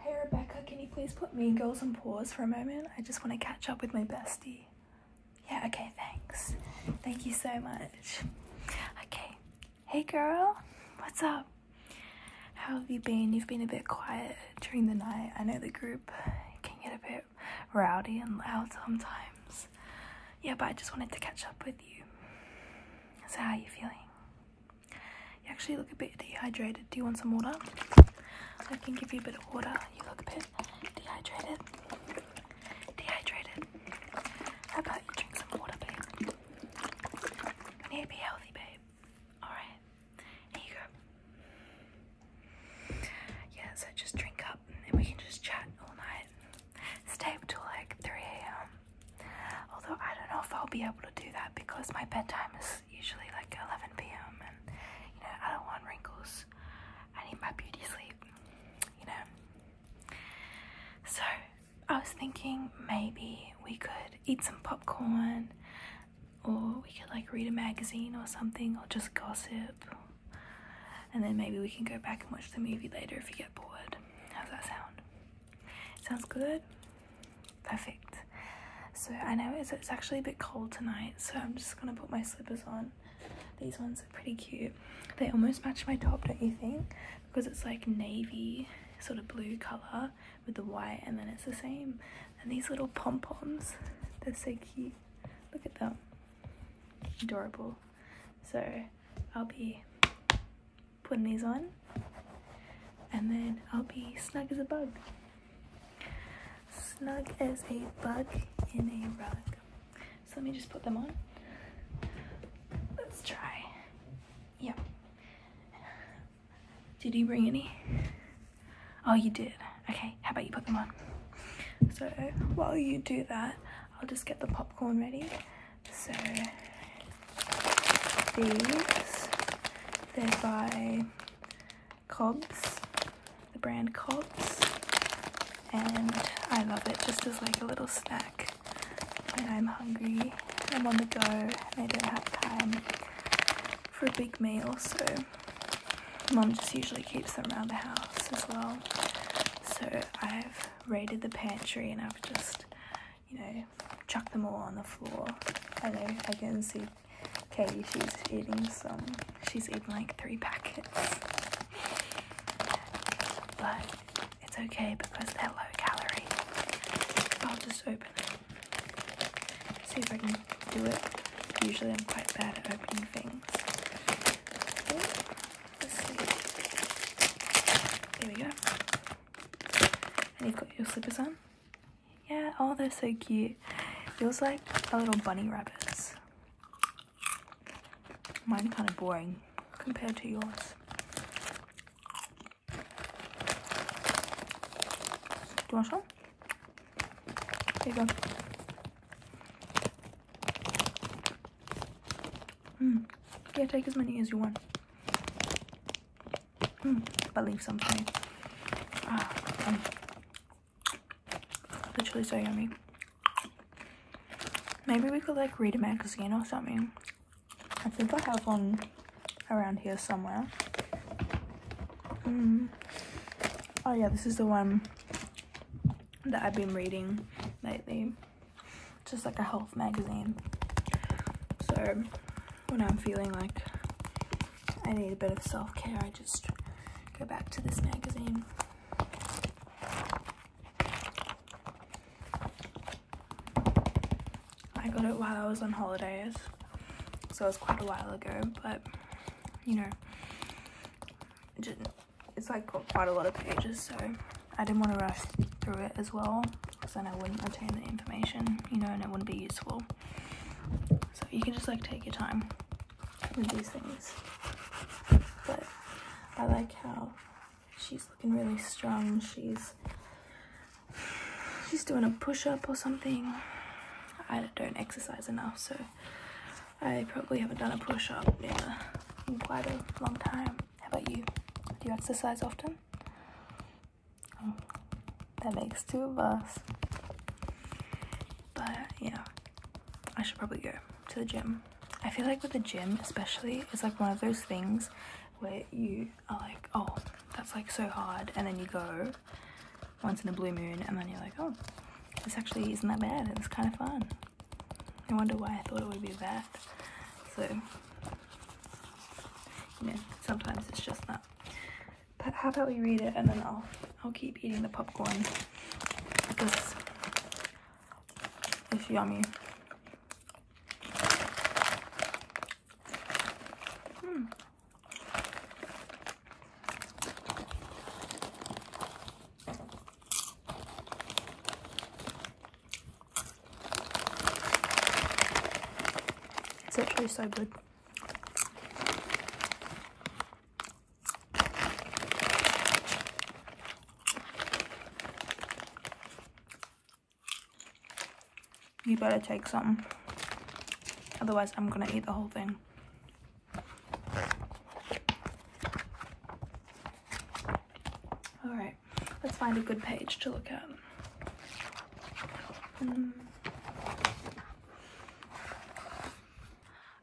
Hey Rebecca, can you please put Mean Girls on pause for a moment? I just want to catch up with my bestie. Yeah, okay, thanks. Thank you so much. Okay, hey girl, what's up? How have you been? You've been a bit quiet during the night. I know the group can get a bit rowdy and loud sometimes. Yeah, but I just wanted to catch up with you. So, how are you feeling? You actually look a bit dehydrated. Do you want some water? I can give you a bit of water. You look a bit dehydrated. Dehydrated. How about you drink some water, babe? need to be healthy, babe. Alright. Here you go. Yeah, so just drink up and we can just chat all night. Stay up till like 3 a.m. Although I don't know if I'll be able to do that because my bedtime is usually like 11 p.m. and you know I don't want wrinkles. I need my beauty sleep, you know. So I was thinking maybe we could eat some popcorn or we could like read a magazine or something or just gossip and then maybe we can go back and watch the movie later if you get bored. How's that sound? Sounds good? perfect so I know it's, actually a bit cold tonight so I'm just gonna put my slippers on these ones are pretty cute they almost match my top don't you think because it's like navy sort of blue color with the white and then it's the same and these little pom-poms they're so cute look at them adorable so I'll be putting these on and then I'll be snug as a bug. Snug as a bug in a rug. So let me just put them on. Let's try. Yep. Did you bring any? Oh, you did. Okay, how about you put them on? So while you do that, I'll just get the popcorn ready so these, they're by Cobs, the brand Cobs, and I love it just as like a little snack when I'm hungry, I'm on the go, and I don't have time for a big meal, so mom just usually keeps them around the house as well. So I've raided the pantry and I've just you know, chuck them all on the floor. I know I can see Katie, she's eating some, she's eating like three packets. But it's okay because they're low calorie. I'll just open it. See if I can do it. Usually I'm quite bad at opening things. There we go. And you've got your slippers on. Yeah, oh, they're so cute. Yours like a little bunny rabbits. Mine kind of boring compared to yours. Do you want some? you go. Mm. Yeah, take as many as you want. Hmm, believe something. Ah, um, literally so yummy. Maybe we could like read a magazine or something. I think I have one around here somewhere. Hmm. Oh yeah, this is the one that I've been reading lately just like a health magazine. So when I'm feeling like I need a bit of self care, I just go back to this magazine. I got it while I was on holidays, so it's quite a while ago, but you know, it's like got quite a lot of pages, so I didn't want to rush through it as well because then I wouldn't retain the information, you know, and it wouldn't be useful. So you can just like take your time with these things. But I like how she's looking really strong. She's she's doing a push-up or something. I don't exercise enough, so I probably haven't done a push-up in, in quite a long time. How about you? Do you exercise often? Oh, that makes two of us. But yeah, I should probably go to the gym. I feel like with the gym, especially, it's like one of those things where you are like, oh, that's like so hard, and then you go once in a blue moon, and then you're like, oh, this actually isn't that bad, it's kind of fun. I wonder why I thought it would be that. So, you know, sometimes it's just that. But how about we read it and then I'll, I'll keep eating the popcorn because it's yummy. Hmm. It's actually so good. You better take some. Otherwise, I'm going to eat the whole thing. All right, let's find a good page to look at. Hmm.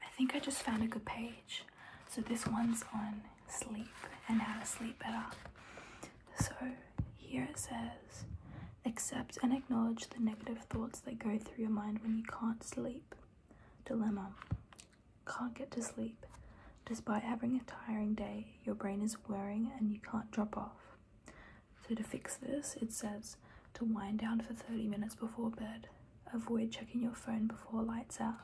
I think I just found a good page. So this one's on sleep and how to sleep better. So here it says, accept and acknowledge the negative thoughts that go through your mind when you can't sleep. Dilemma can't get to sleep. Despite having a tiring day, your brain is whirring and you can't drop off. So, to fix this, it says to wind down for 30 minutes before bed. Avoid checking your phone before lights out,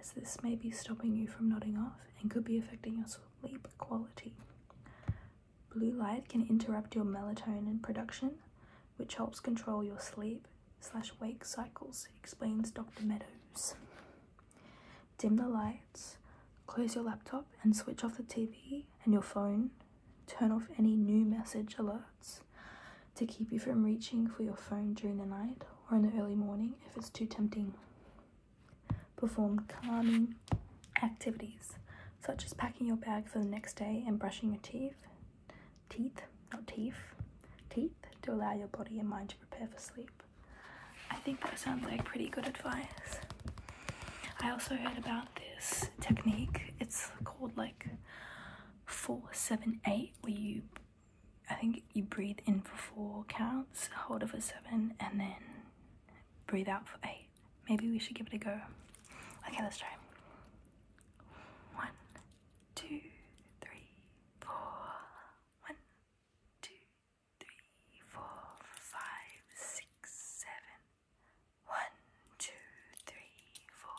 as this may be stopping you from nodding off and could be affecting your sleep quality. Blue light can interrupt your melatonin production, which helps control your sleep slash wake cycles, explains Dr. Meadows. Dim the lights, close your laptop and switch off the TV and your phone. Turn off any new message alerts to keep you from reaching for your phone during the night or in the early morning if it's too tempting. Perform calming activities such as packing your bag for the next day and brushing your teeth, teeth, not teeth, teeth to allow your body and mind to prepare for sleep. I think that sounds like pretty good advice. I also heard about this technique. It's called like 478 where you I think you breathe in for 4 counts, hold it for 7 and then breathe out for 8. Maybe we should give it a go. Okay, let's try. One, two, three, four. One, two, three, four, five, six, seven. One, two, three, four,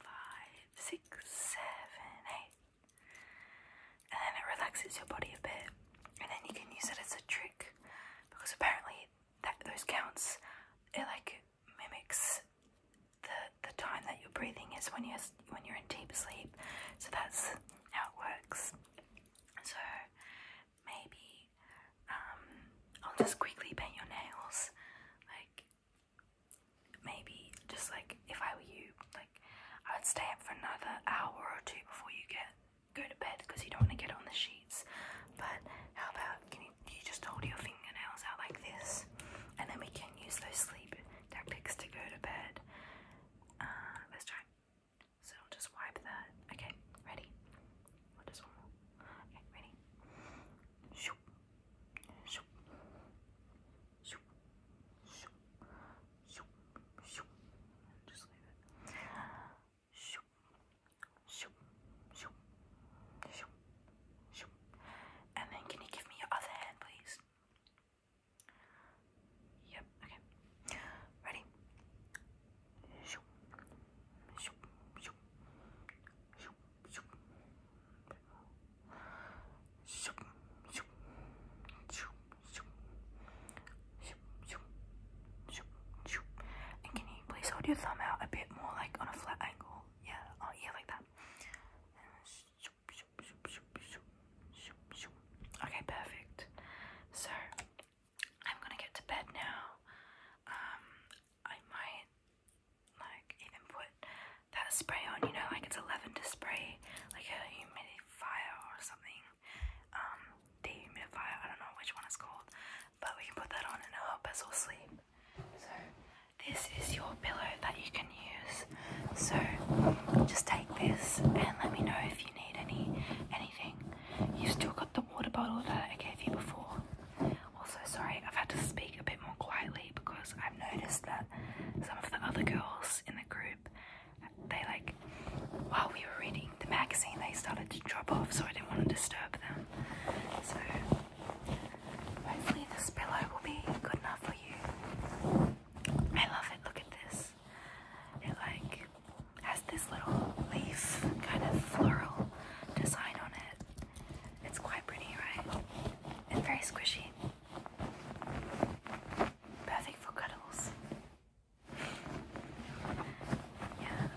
five, six, seven, eight. And then it relaxes your body a bit, and then you can use it as a trick because apparently that those counts it like mimics the the time that you're breathing is when you're when you're in deep sleep. So that's how it works. So maybe um, I'll just quickly paint your nails. Like maybe just like if I were you, like I would stay up for another hour or two before you get go to bed because you don't want to get on the sheets. But how about you just hold your fingernails out like this, and then we can use those sleep Tactics to go to bed. Uh, let's try. So just wipe that. Okay, ready? just one more. Okay, ready? Shoop. Shoop. Shoop. Shoop. Shoop. Shoop. Just leave it. Shoop. Shoop. Shoop. Shoop. Shoop. And then can you give me your other hand, please? Yep, okay. Ready? Shoop, shoop, shoop, shoop, shoop, shoop, shoop, shoop, shoop, shoop, shoop, shoop. And can you please hold your thumb out a bit more like on a flat angle? Yeah, oh yeah, like that. Okay, perfect. So I'm gonna get to bed now. Um, I might like even put that spray on. You know, like it's a lavender spray, like a humidifier or something. Um, dehumidifier. I don't know which one it's called, but we can put that on and help us all sleep. So this is your pillow that you can use. So just take this and let me know if you need any anything. You've still got the water bottle that I gave you before. Also sorry, I've had to speak a bit more quietly because I've noticed that some of the other girls in the group they like while we were reading the magazine they started to drop off so I didn't want to disturb them. So Hopefully, this pillow will be good enough for you. I love it. Look at this. It like has this little leaf kind of floral design on it. It's quite pretty, right? And very squishy. Perfect for cuddles. Yeah.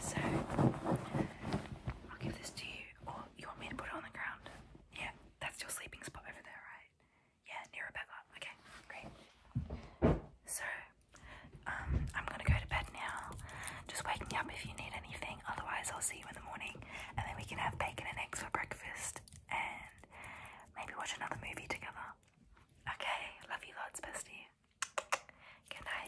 So I'll give this to you, you want me to put it on the ground? Yeah, that's your sleeping spot over there, right? Yeah, near Rebecca. Okay, great. So, um, I'm gonna go to bed now. Just wake me up if you need anything. Otherwise, I'll see you in the morning, and then we can have bacon and eggs for breakfast, and maybe watch another movie together. Okay, love you lots, bestie. Good night.